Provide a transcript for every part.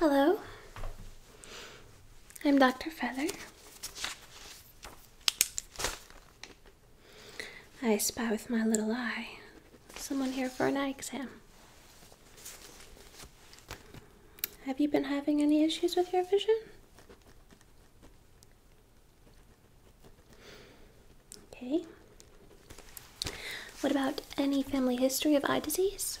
Hello, I'm Dr. Feather. I spy with my little eye. Someone here for an eye exam. Have you been having any issues with your vision? Okay. What about any family history of eye disease?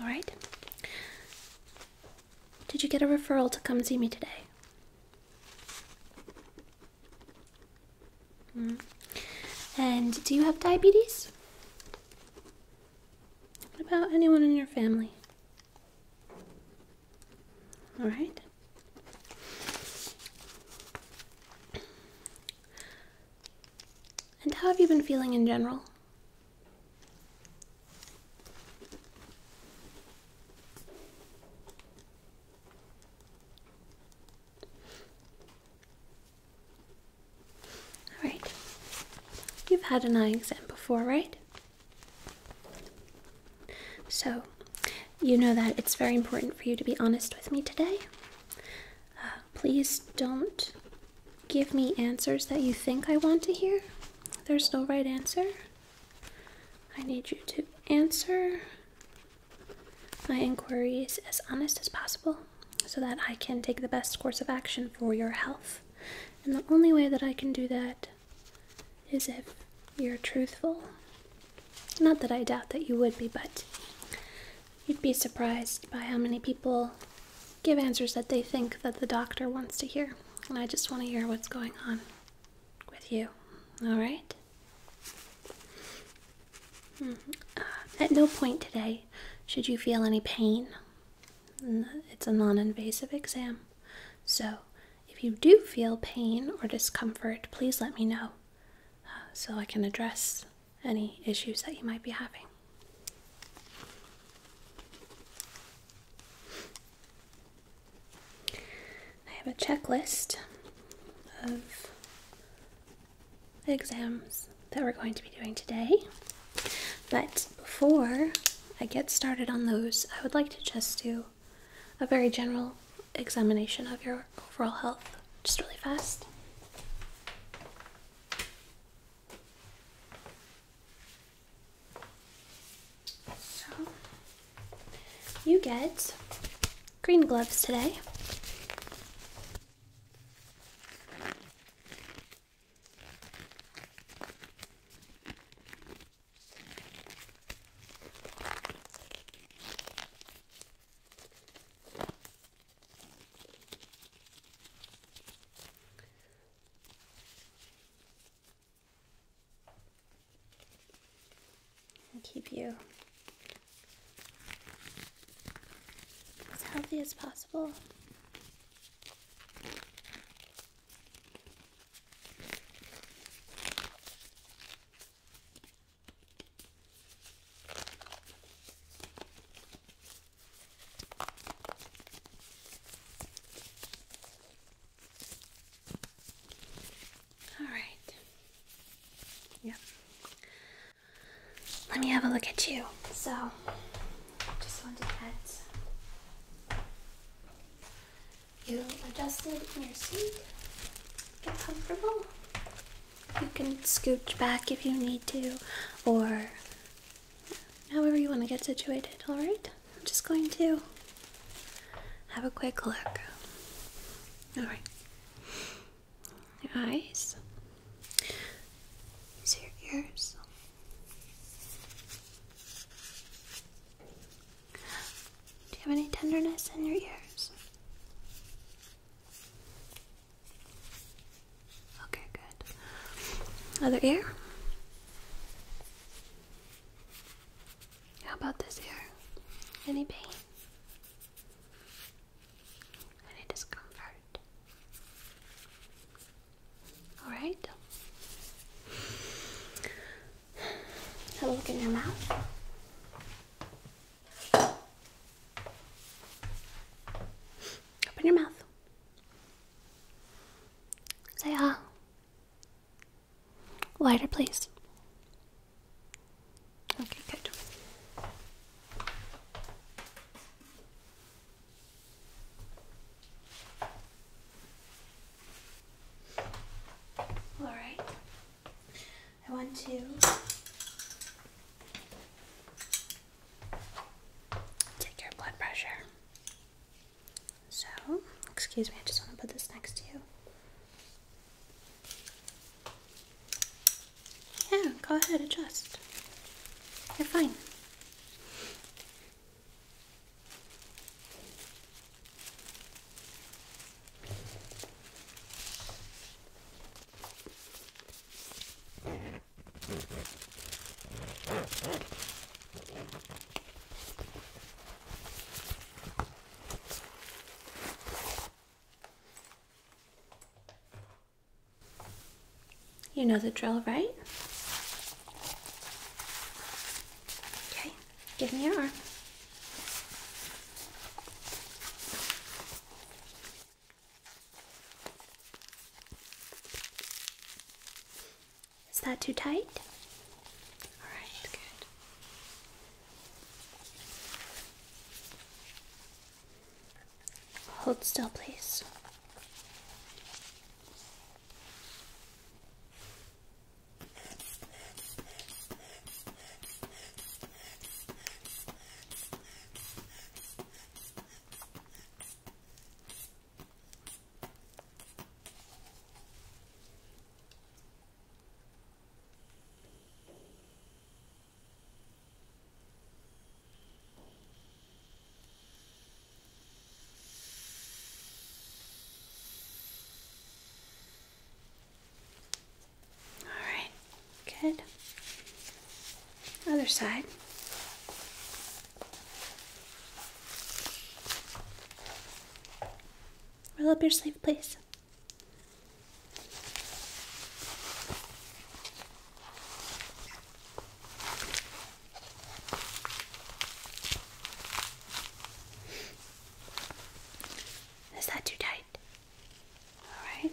All right. Did you get a referral to come see me today? Mm. And do you have diabetes? about anyone in your family? All right. And how have you been feeling in general? All right. You've had an eye exam before, right? So, you know that it's very important for you to be honest with me today. Uh, please don't give me answers that you think I want to hear. There's no right answer. I need you to answer my inquiries as honest as possible so that I can take the best course of action for your health. And the only way that I can do that is if you're truthful. Not that I doubt that you would be, but you'd be surprised by how many people give answers that they think that the doctor wants to hear. And I just want to hear what's going on with you, alright? Mm-hmm. Uh, at no point today should you feel any pain. It's a non invasive exam. So, if you do feel pain or discomfort, please let me know uh, so I can address any issues that you might be having. I have a checklist of exams that we're going to be doing today. But before I get started on those, I would like to just do a very general examination of your overall health, just really fast. So you get green gloves today keep you as healthy as possible. All right. Yep. Let me have a look at you. So, just want to get you adjusted in your seat. Get comfortable. You can scooch back if you need to, or however you want to get situated, alright? I'm just going to have a quick look all right. Your eyes. So your ears. Do you have any tenderness in your ears? Okay, good. Other ear. How about this here? Any pain? Any discomfort? Alright. a look in your mouth. Open your mouth. Say ah. Lighter, please. Okay, good. All right. I want to take your blood pressure. So, excuse me, I just want to put this next to you. Yeah, go ahead, adjust. You're fine. You know the drill, right? Okay, give me your arm. Is that too tight? All right, good. Hold still, please. All right, good. Other side. Roll up your sleeve, please. Is that too tight? All right.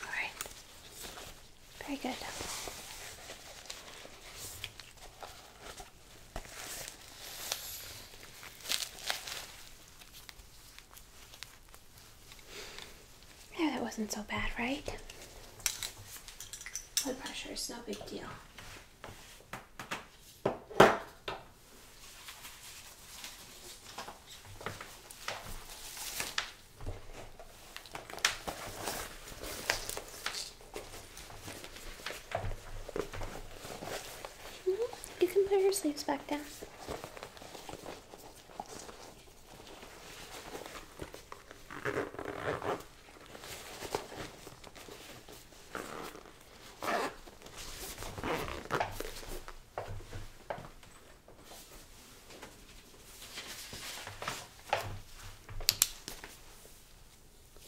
All right. Very good. Yeah, that wasn't so bad, right? Blood pressure is no big deal. You can put your sleeves back down.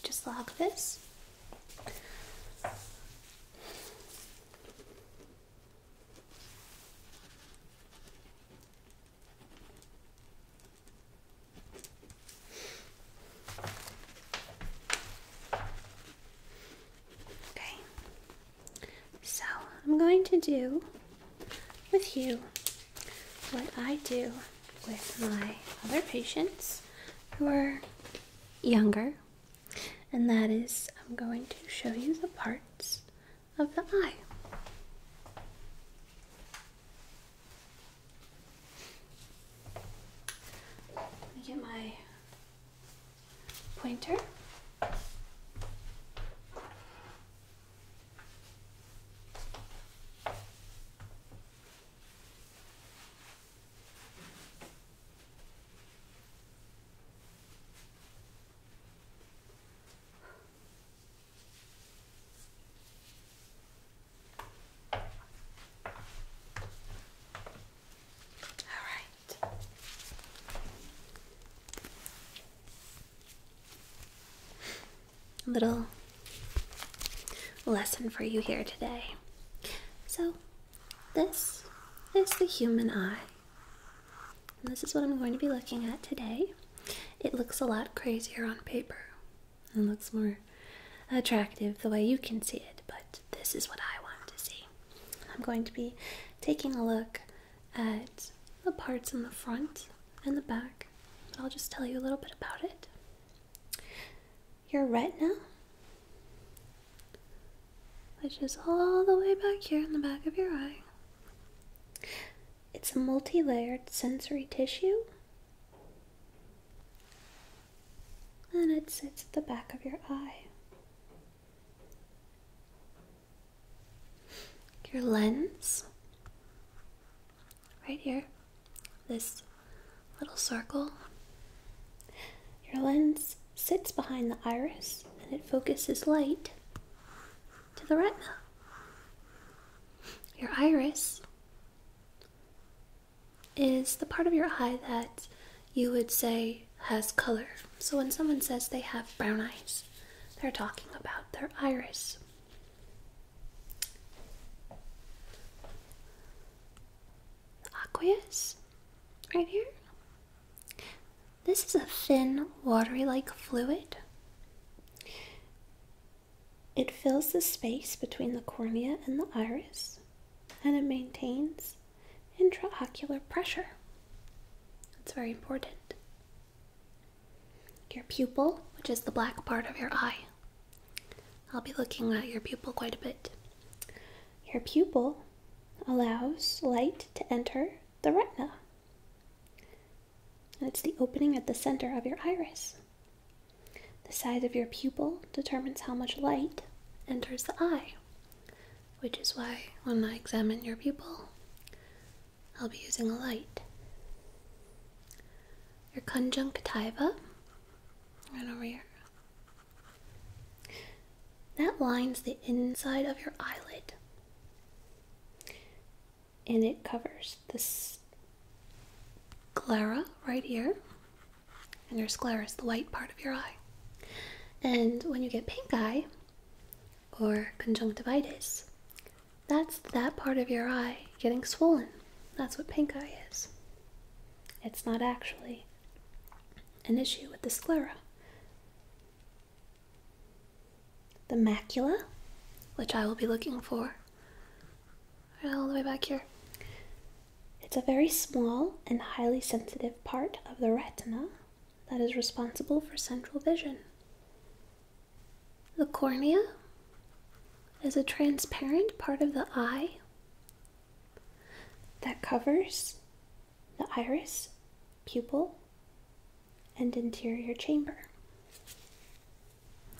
Just like this. Okay. So, I'm going to do with you what I do with my other patients who are younger, and that is I'm going to show you the parts of the eye. Let me get my pointer. All right. little lesson for you here today. So, this is the human eye. this is what I'm going to be looking at today. It looks a lot crazier on paper. It looks more attractive the way you can see it, but this is what I want to see. I'm going to be taking a look at the parts in the front and the back. I'll just tell you a little bit about it. Your retina, which is all the way back here in the back of your eye, it's a multi layered sensory tissue. And it sits at the back of your eye. Your lens, right here, this little circle. Your lens sits behind the iris and it focuses light to the retina. Your iris is the part of your eye that you would say has color. So when someone says they have brown eyes, they're talking about their iris. aqueous, right here. This is a thin, watery like fluid. It fills the space between the cornea and the iris, and it maintains intraocular pressure. That's very important. Your pupil, which is the black part of your eye. I'll be looking at your pupil quite a bit. Your pupil allows light to enter the retina. And it's the opening at the center of your iris. The size of your pupil determines how much light enters the eye which is why when I examine your pupil, I'll be using a light. Your conjunctiva, right over here, that lines the inside of your eyelid and it covers this sclera right here and your sclera is the white part of your eye. And when you get pink eye or conjunctivitis, that's that part of your eye getting swollen. That's what pink eye is. It's not actually an issue with the sclera. The macula, which I will be looking for, all the way back here, it's a very small and highly sensitive part of the retina that is responsible for central vision. The cornea is a transparent part of the eye that covers the iris, pupil, and interior chamber.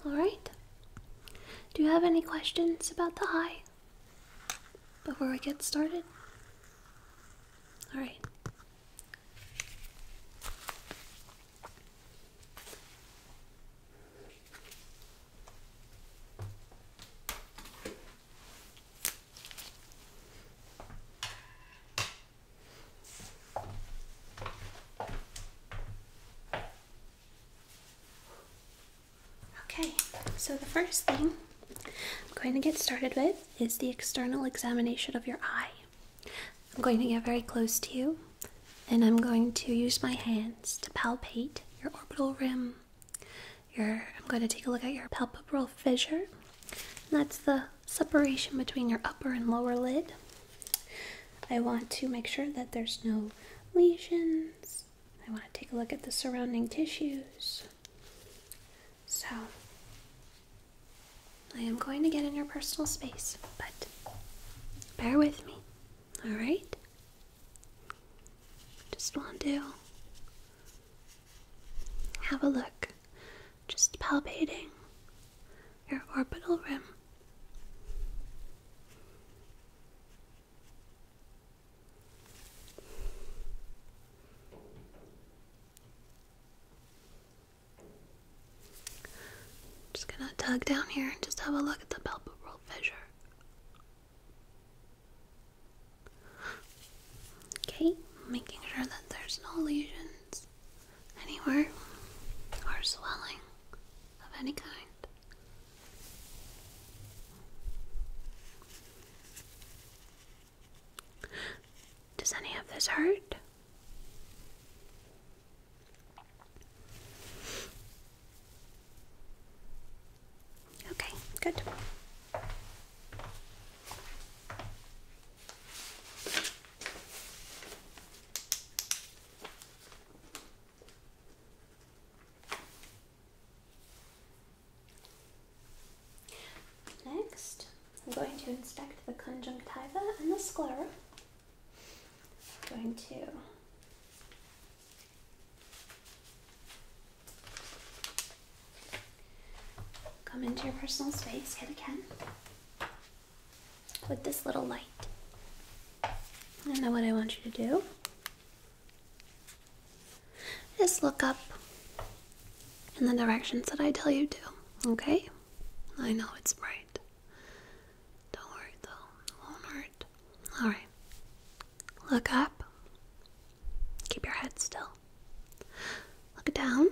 All right. Do you have any questions about the eye? before we get started? Alright. Okay, so the first thing I'm going to get started with is the external examination of your eye. I'm going to get very close to you and I'm going to use my hands to palpate your orbital rim. I'm going to take a look at your palpebral fissure. That's the separation between your upper and lower lid. I want to make sure that there's no lesions. I want to take a look at the surrounding tissues. So, I am going to get in your personal space, but bear with me, alright? Just want to have a look, just palpating your orbital rim. Just gonna tug down here and just have a look at the pelvic palpebral fissure. Okay, making sure that there's no lesions anywhere or swelling of any kind. Does any of this hurt? Okay, good. Next, I'm going to inspect the conjunctiva and the sclera. I'm going to come into your personal space again with this little light. And then what I want you to do just look up in the directions that I tell you to, okay? I know it's bright. Don't worry though, won't hurt. Alright. Look up. Keep your head still. Look down.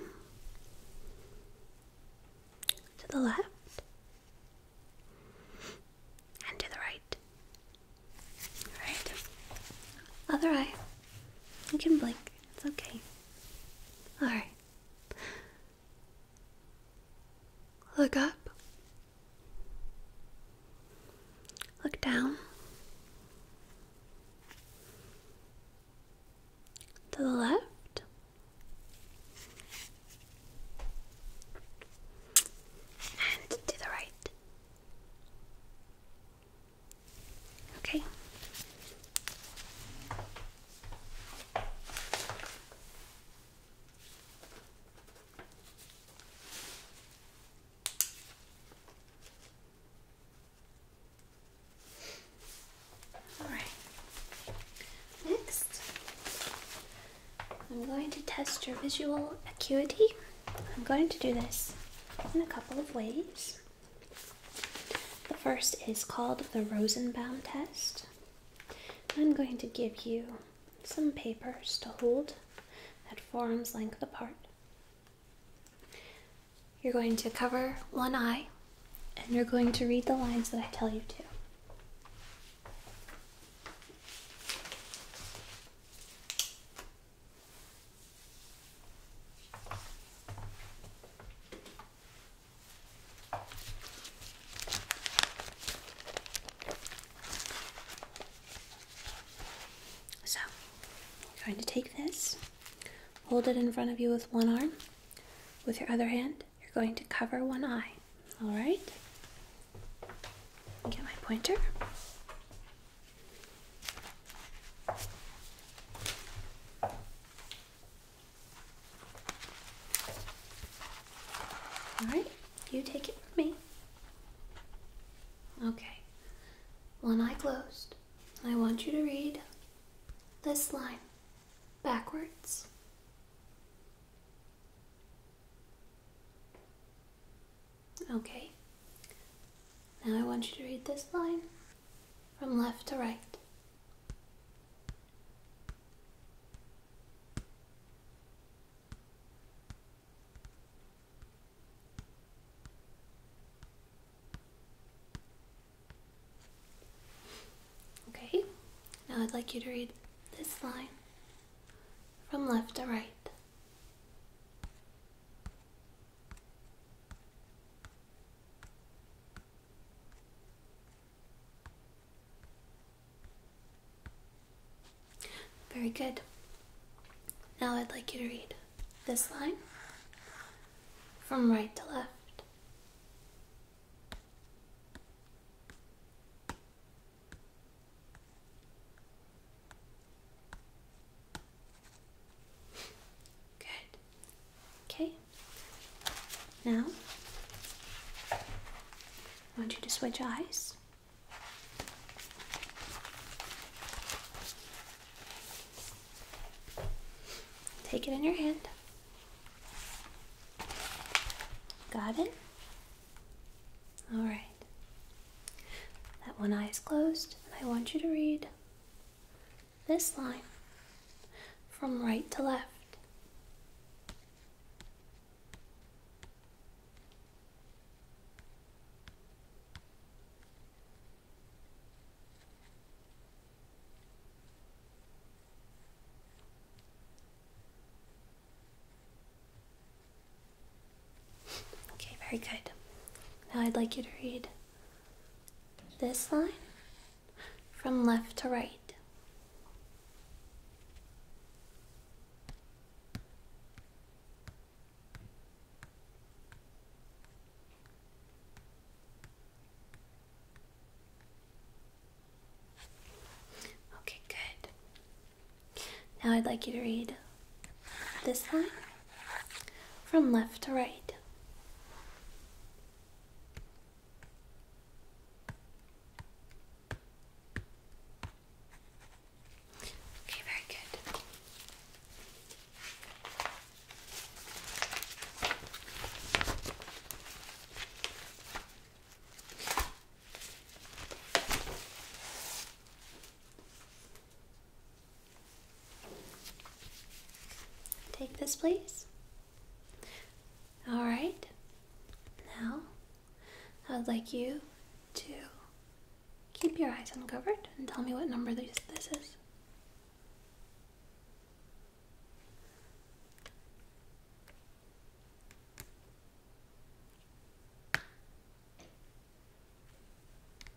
To the left. And to the right. Alright. Other eye. You can blink. It's okay. Alright. Look up. Look down. To the left. And to the right. Okay. All right. Next, I'm going to test your visual acuity. I'm going to do this in a couple of ways. The first is called the Rosenbaum test. I'm going to give you some papers to hold at forearm's length apart. You're going to cover one eye and you're going to read the lines that I tell you to. So, I'm going to take this, hold it in front of you with one arm. With your other hand, you're going to cover one eye. All right? Get my pointer. All right, you take it from me. Okay, one eye closed. I want you to read this line backwards. Okay. Now I want you to read this line from left to right. Okay, now I'd like you to read this line from left to right. Very good. Now I'd like you to read this line from right to left. Good. Okay. Now, I want you to switch eyes. Take it in your hand. Got it? All right. That one eye is closed, and I want you to read this line from right to left. Okay, very good. Now I'd like you to read this line from left to right. Okay, good. Now I'd like you to read this time, from left to right. Okay, very good. Take this, please. All right. Now, I'd like you to keep your eyes uncovered and tell me what number this is.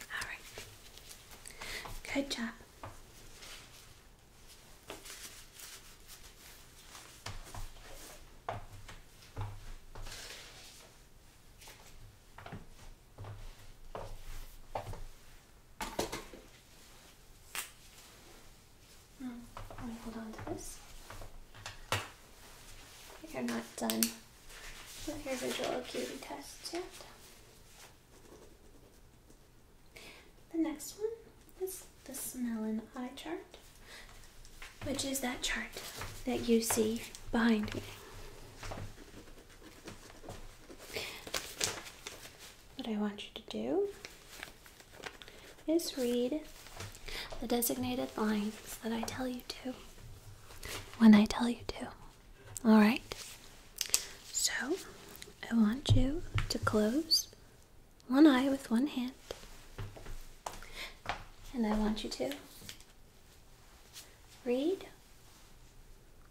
All right. Good job. Mm, hold on to this. You're not done with your visual acuity test. yet. The next one is the smell eye chart, which is that chart that you see behind me. What I want you to do is read the designated lines that I tell you to when I tell you to. Alright, so I want you to close one eye with one hand, and I want you to read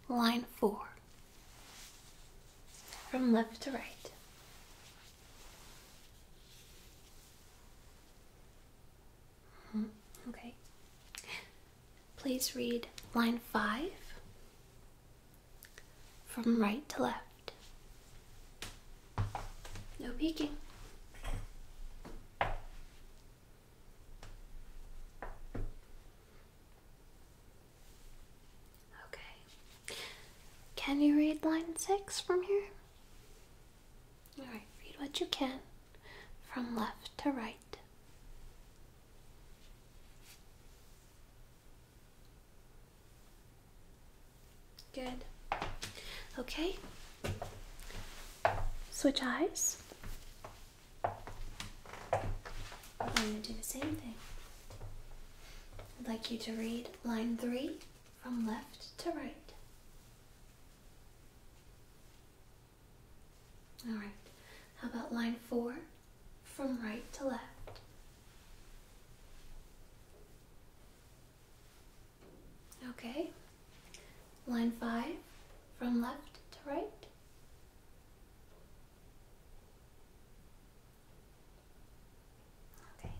line four from left to right. Mm-hmm. Okay. Please read line five from right to left. No peeking. Okay. Can you read line six from here? Alright, read what you can from left to right. Good. Okay. Switch eyes. I'm going to do the same thing. I'd like you to read line three from left to right. All right. How about line four from right to left? Okay. Line five from left to right. Okay.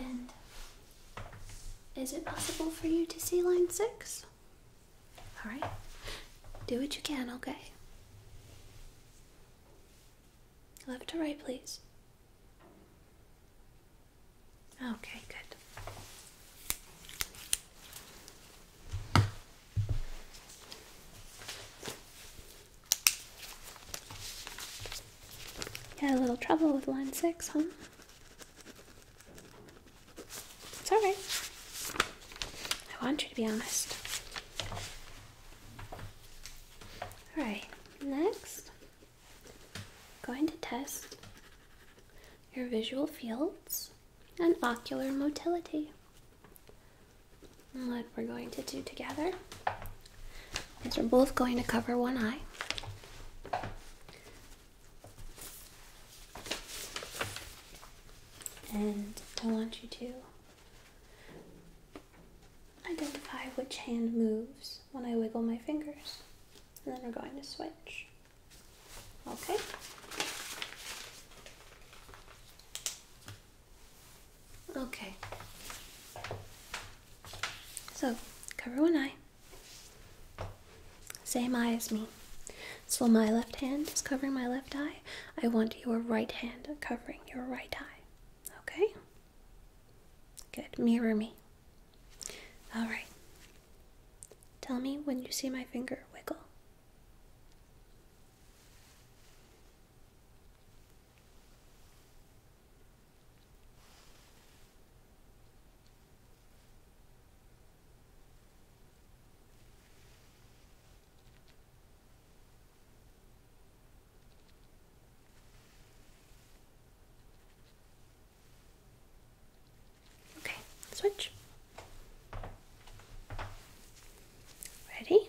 And is it possible for you to see line six? All right? Do what you can, okay? Left to right, please. Okay, good. Had a little trouble with line six, huh? It's alright. I want you to be honest. Alright, next, going to test your visual fields and ocular motility. what we're going to do together is we're both going to cover one eye. And I want you to identify which hand moves when I wiggle my fingers. And then we're going to switch. Okay? Okay. So, cover one eye. Same eye as me. So my left hand is covering my left eye. I want your right hand covering your right eye. Okay? Good. Mirror me. Alright. Tell me when you see my finger wiggle. Okay, switch. Ready?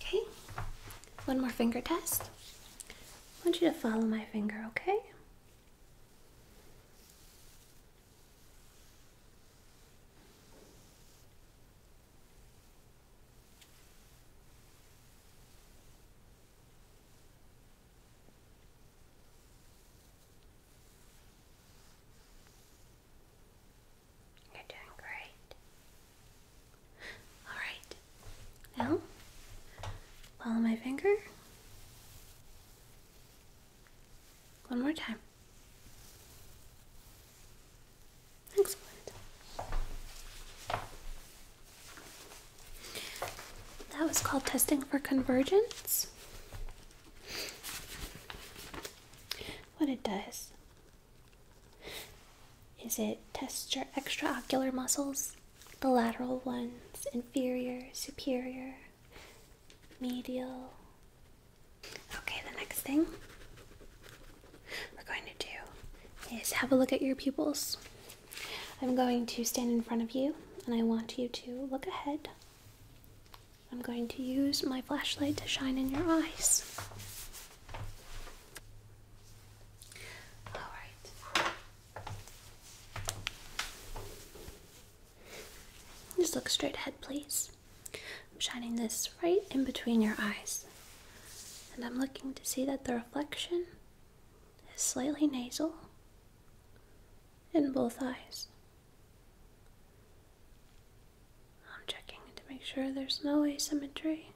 Okay, one more finger test. I want you to follow my finger, okay? You're doing great. Alright, now follow my finger. One more time. Excellent. That was called testing for convergence. What it does is it tests your extraocular muscles, the lateral ones, inferior, superior, medial. Okay, the next thing we're going to do is have a look at your pupils. I'm going to stand in front of you and I want you to look ahead. I'm going to use my flashlight to shine in your eyes. All right. Just look straight ahead, please. I'm shining this right in between your eyes. And I'm looking to see that the reflection is slightly nasal in both eyes. I'm checking to make sure there's no asymmetry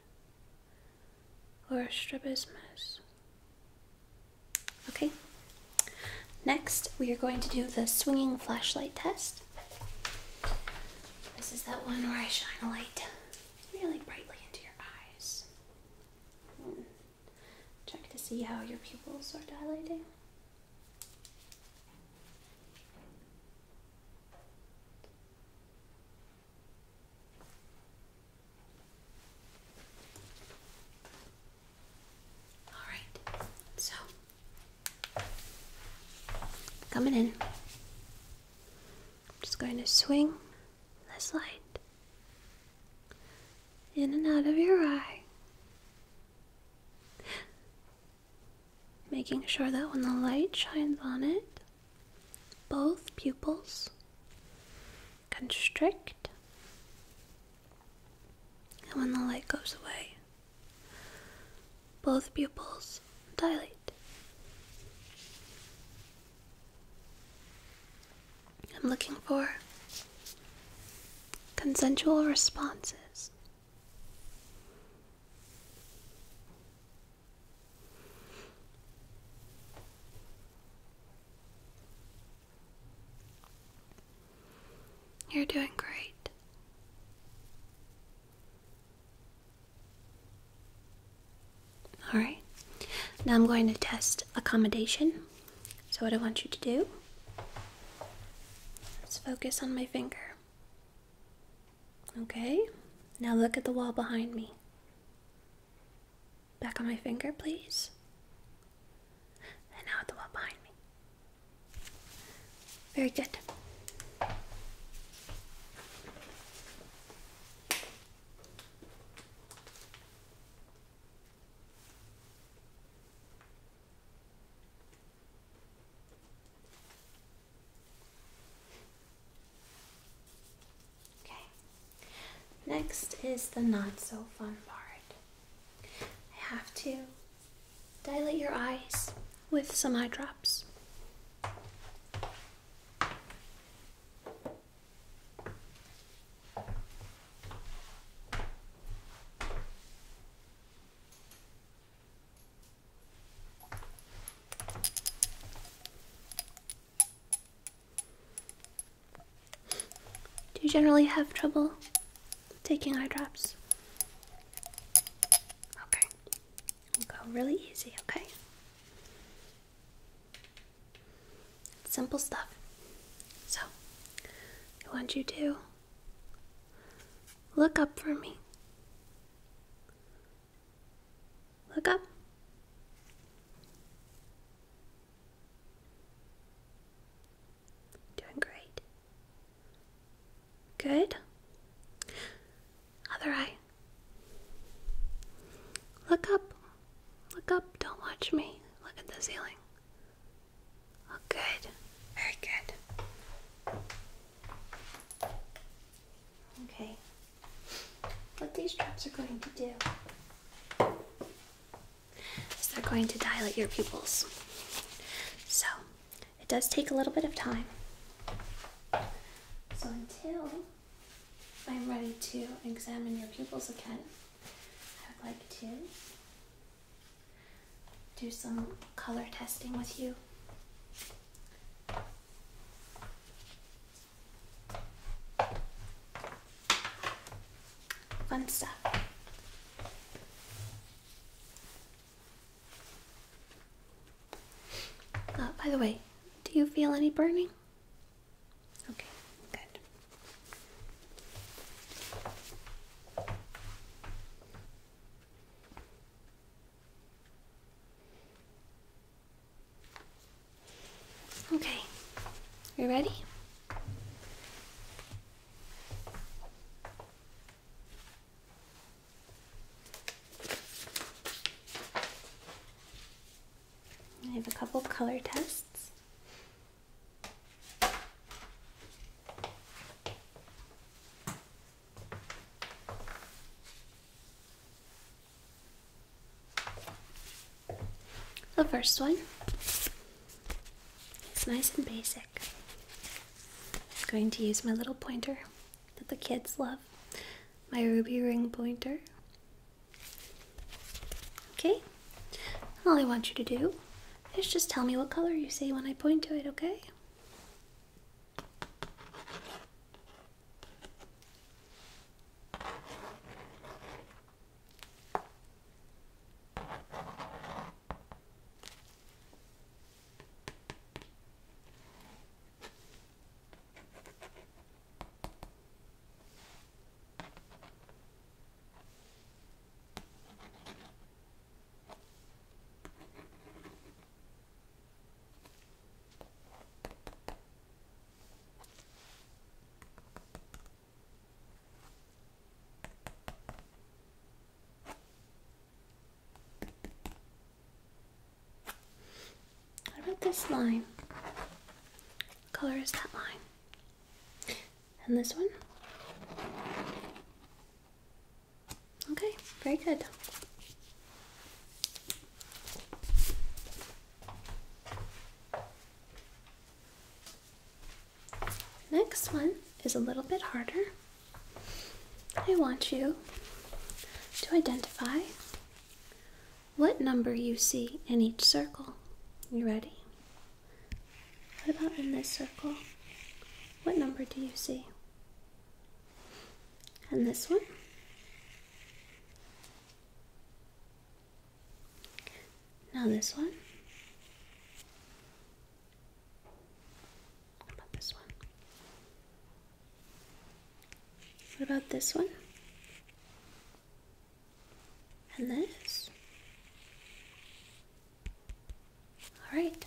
or strabismus. Okay, next we are going to do the swinging flashlight test. This is that one where I shine a light really brightly into your eyes. Hmm. Check to see how your pupils are dilating. All right, so coming in, just going to swing this light in and out of your eye, making sure that when the light shines on it, both pupils constrict, and when the light goes away, both pupils dilate. I'm looking for consensual responses. You're doing great. All right. Now I'm going to test accommodation. So, what I want you to do is focus on my finger. Okay, now look at the wall behind me. Back on my finger, please. And now at the wall behind me. Very good. Okay, next is the not so fun part. I have to dilate your eyes with some eye drops. Do you generally have trouble taking eye drops? Okay, we'll go really easy, okay? simple stuff. So, I want you to look up for me. Look up. Doing great. Good. Other eye. Look up. Look up, don't watch me. Look at the ceiling. good. Very good. Okay. What these drops are going to do is they're going to dilate your pupils. So, it does take a little bit of time. So, until I'm ready to examine your pupils again, I would like to do some color testing with you. Fun stuff. Uh, by the way, do you feel any burning? Okay, good. Okay, you ready? I have a couple of color tests. The first one is nice and basic. I'm going to use my little pointer that the kids love, my ruby ring pointer. Okay? All I want you to do is just tell me what color you see when I point to it, okay? What about this line? What color is that line? And this one? Okay, very good. Next one is a little bit harder. I want you to identify what number you see in each circle. You ready? What about in this circle? What number do you see? And this one? Now this one? What about this one? What about this one? And this. All right.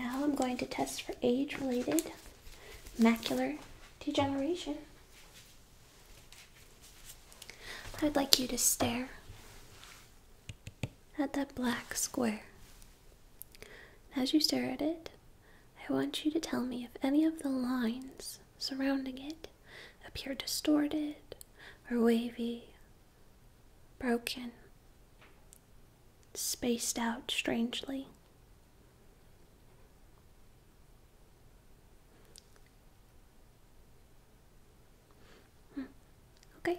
Now I'm going to test for age-related macular degeneration. I'd like you to stare at that black square. As you stare at it, I want you to tell me if any of the lines surrounding it appear distorted or wavy, broken, spaced out strangely. Hmm, okay.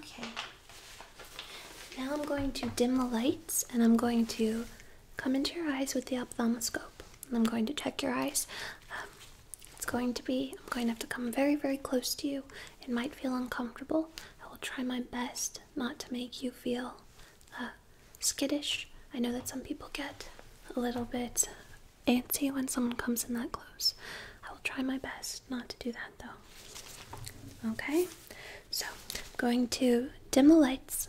Okay. Now I'm going to dim the lights and I'm going to come into your eyes with the ophthalmoscope. And I'm going to check your eyes. Um, it's going to be, I'm going to have to come very, very close to you. It might feel uncomfortable. I will try my best not to make you feel uh, skittish. I know that some people get a little bit antsy when someone comes in that close. I will try my best not to do that though. Okay, so going to dim the lights.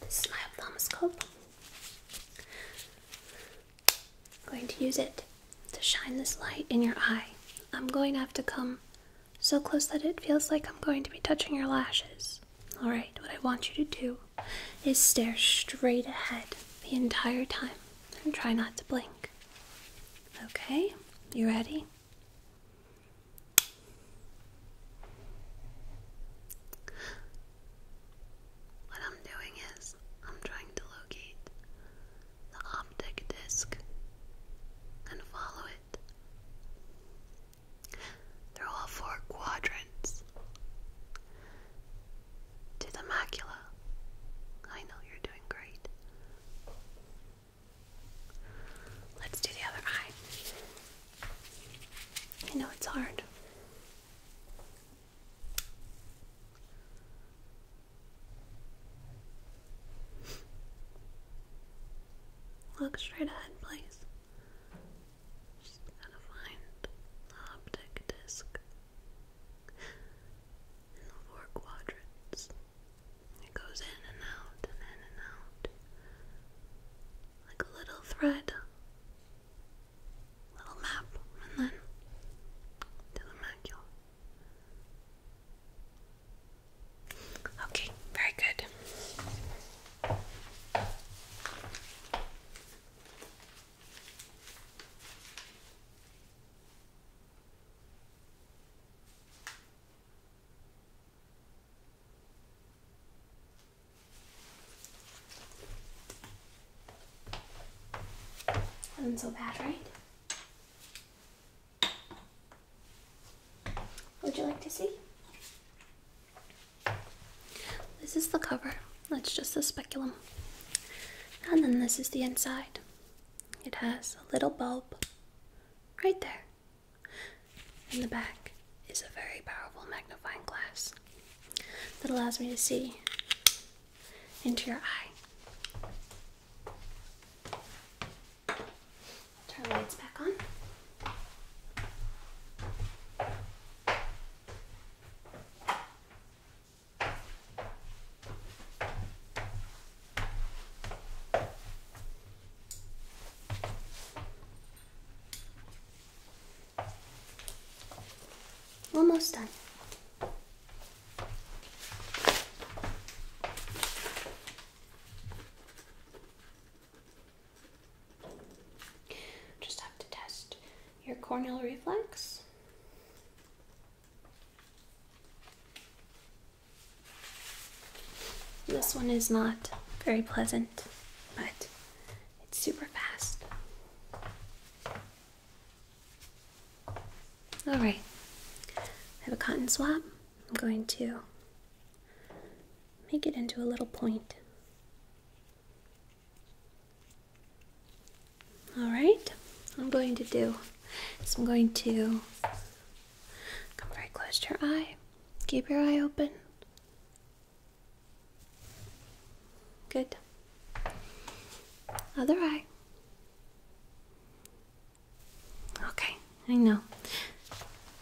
This is my ophthalmoscope. I'm going to use it to shine this light in your eye. I'm going to have to come so close that it feels like I'm going to be touching your lashes. Alright, what I want you to do is stare straight ahead the entire time and try not to blink. Okay, you ready? What I'm doing is I'm trying to locate the optic disc and follow it through all four quadrants to the macula. I know you're doing great. Let's do the other eye. I know it's hard. Look straight ahead, please. Just find the optic disc in the four quadrants. It goes in and out and in and out like a little thread, little map, and then to the macula. Okay, very good. Wasn't so bad, right? Would you like to see? This is the cover. That's just the speculum. And then this is the inside. It has a little bulb right there. And the back is a very powerful magnifying glass that allows me to see into your eye. Turn the lights back on. Almost done. Just have to test your corneal reflex. This one is not very pleasant, but it's super fast. Alright, I have a cotton swab. I'm going to make it into a little point. All right, I'm going to do I'm going to come very close your eye. Keep your eye open. Good. Other eye. Okay, I know.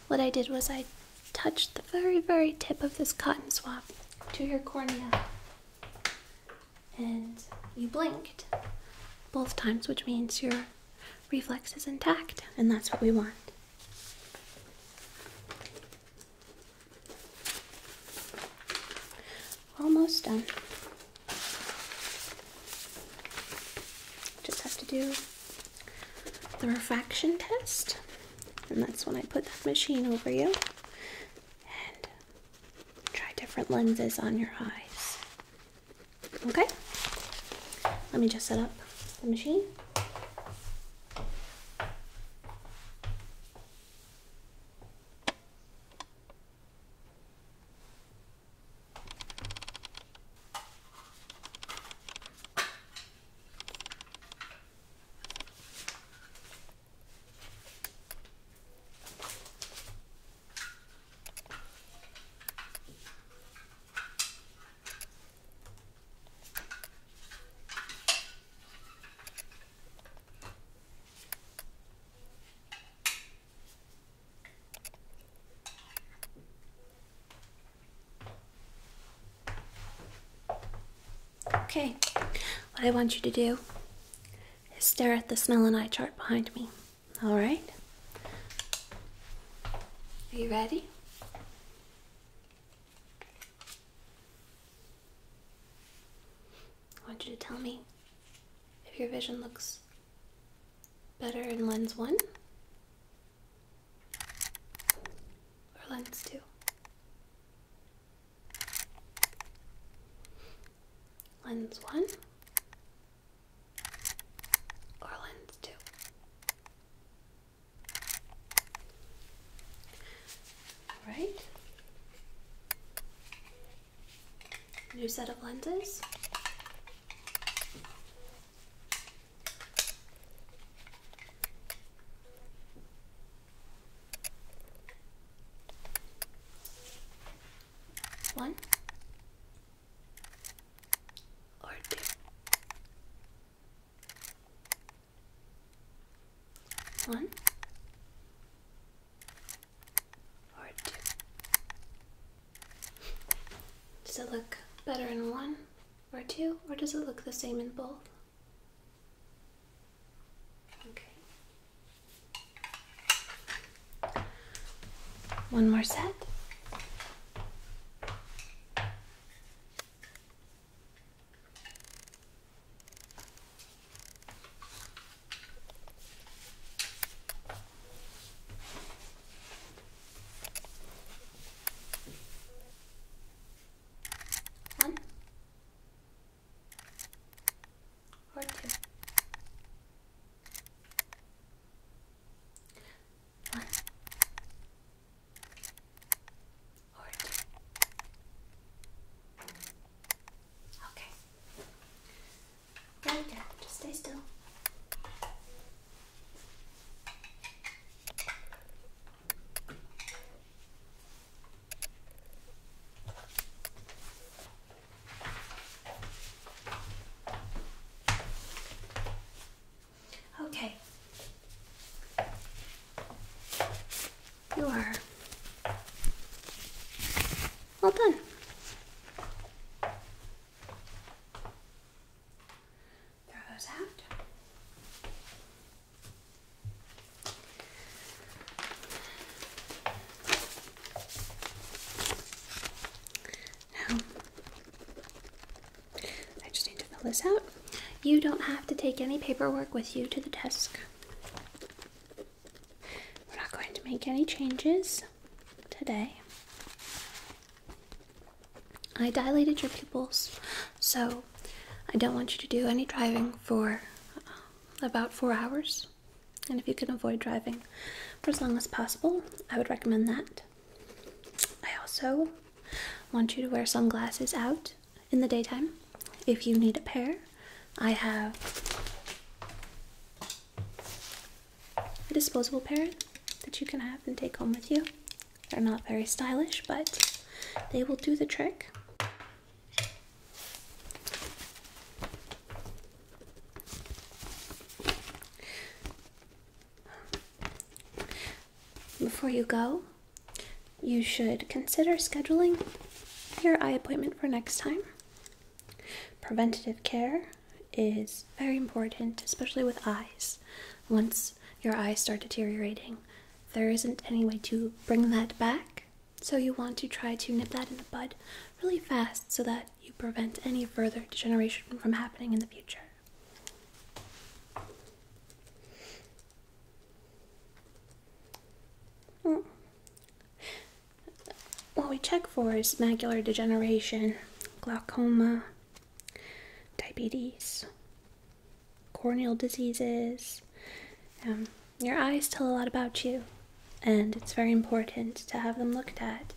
What I did was I touched the very, very tip of this cotton swab to your cornea and you blinked both times, which means your reflex is intact, and that's what we want. Almost done. Just have to do the refraction test, and that's when I put that machine over you try different lenses on your eyes. Okay? Let me just set up the machine. Okay, what I want you to do stare at the smell and eye chart behind me. All right? Are you ready? I want you to tell me if your vision looks better in lens one or lens two. Lens one or lens two. All right. New set of lenses. One or two. One or two. Does it look better in one or two, or does it look the same in both? Okay. One more set. One, or two. One or two. Okay. Very Just stay still. Okay. You are well done. Throw those out. I just need to fill this out. You don't have to take any paperwork with you to the desk. We're not going to make any changes today. I dilated your pupils, so I don't want you to do any driving for about four hours. And if you can avoid driving for as long as possible, I would recommend that. I also want you to wear sunglasses out in the daytime. If you need a pair, I have a disposable pair that you can have and take home with you. They're not very stylish, but they will do the trick. Before you go, you should consider scheduling your eye appointment for next time. Preventive care is very important, especially with eyes. Once your eyes start deteriorating, there isn't any way to bring that back so, you want to try to nip that in the bud really fast so that you prevent any further degeneration from happening in the future. Hmm. What we check for is macular degeneration, glaucoma, diabetes, corneal diseases. Um, your eyes tell a lot about you, and it's very important to have them looked at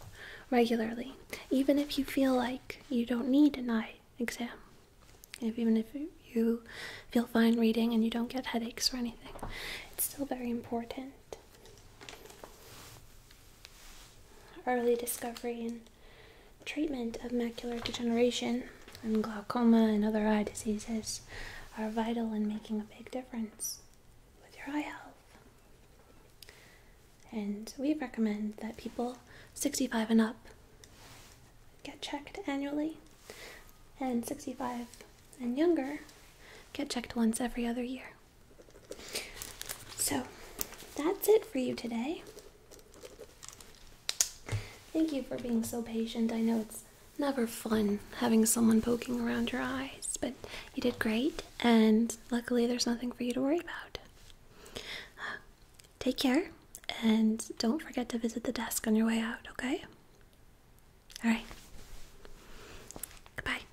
regularly, even if you feel like you don't need an eye exam. If, even if you feel fine reading and you don't get headaches or anything, it's still very important. Early discovery and treatment of macular degeneration and glaucoma and other eye diseases are vital in making a big difference with your eye health. And we recommend that people 65 and up get checked annually, and 65 and younger get checked once every other year. So that's it for you today. Thank you for being so patient. I know it's never fun having someone poking around your eyes, but you did great, and luckily there's nothing for you to worry about. take care, and don't forget to visit the desk on your way out, okay? Alright. Goodbye.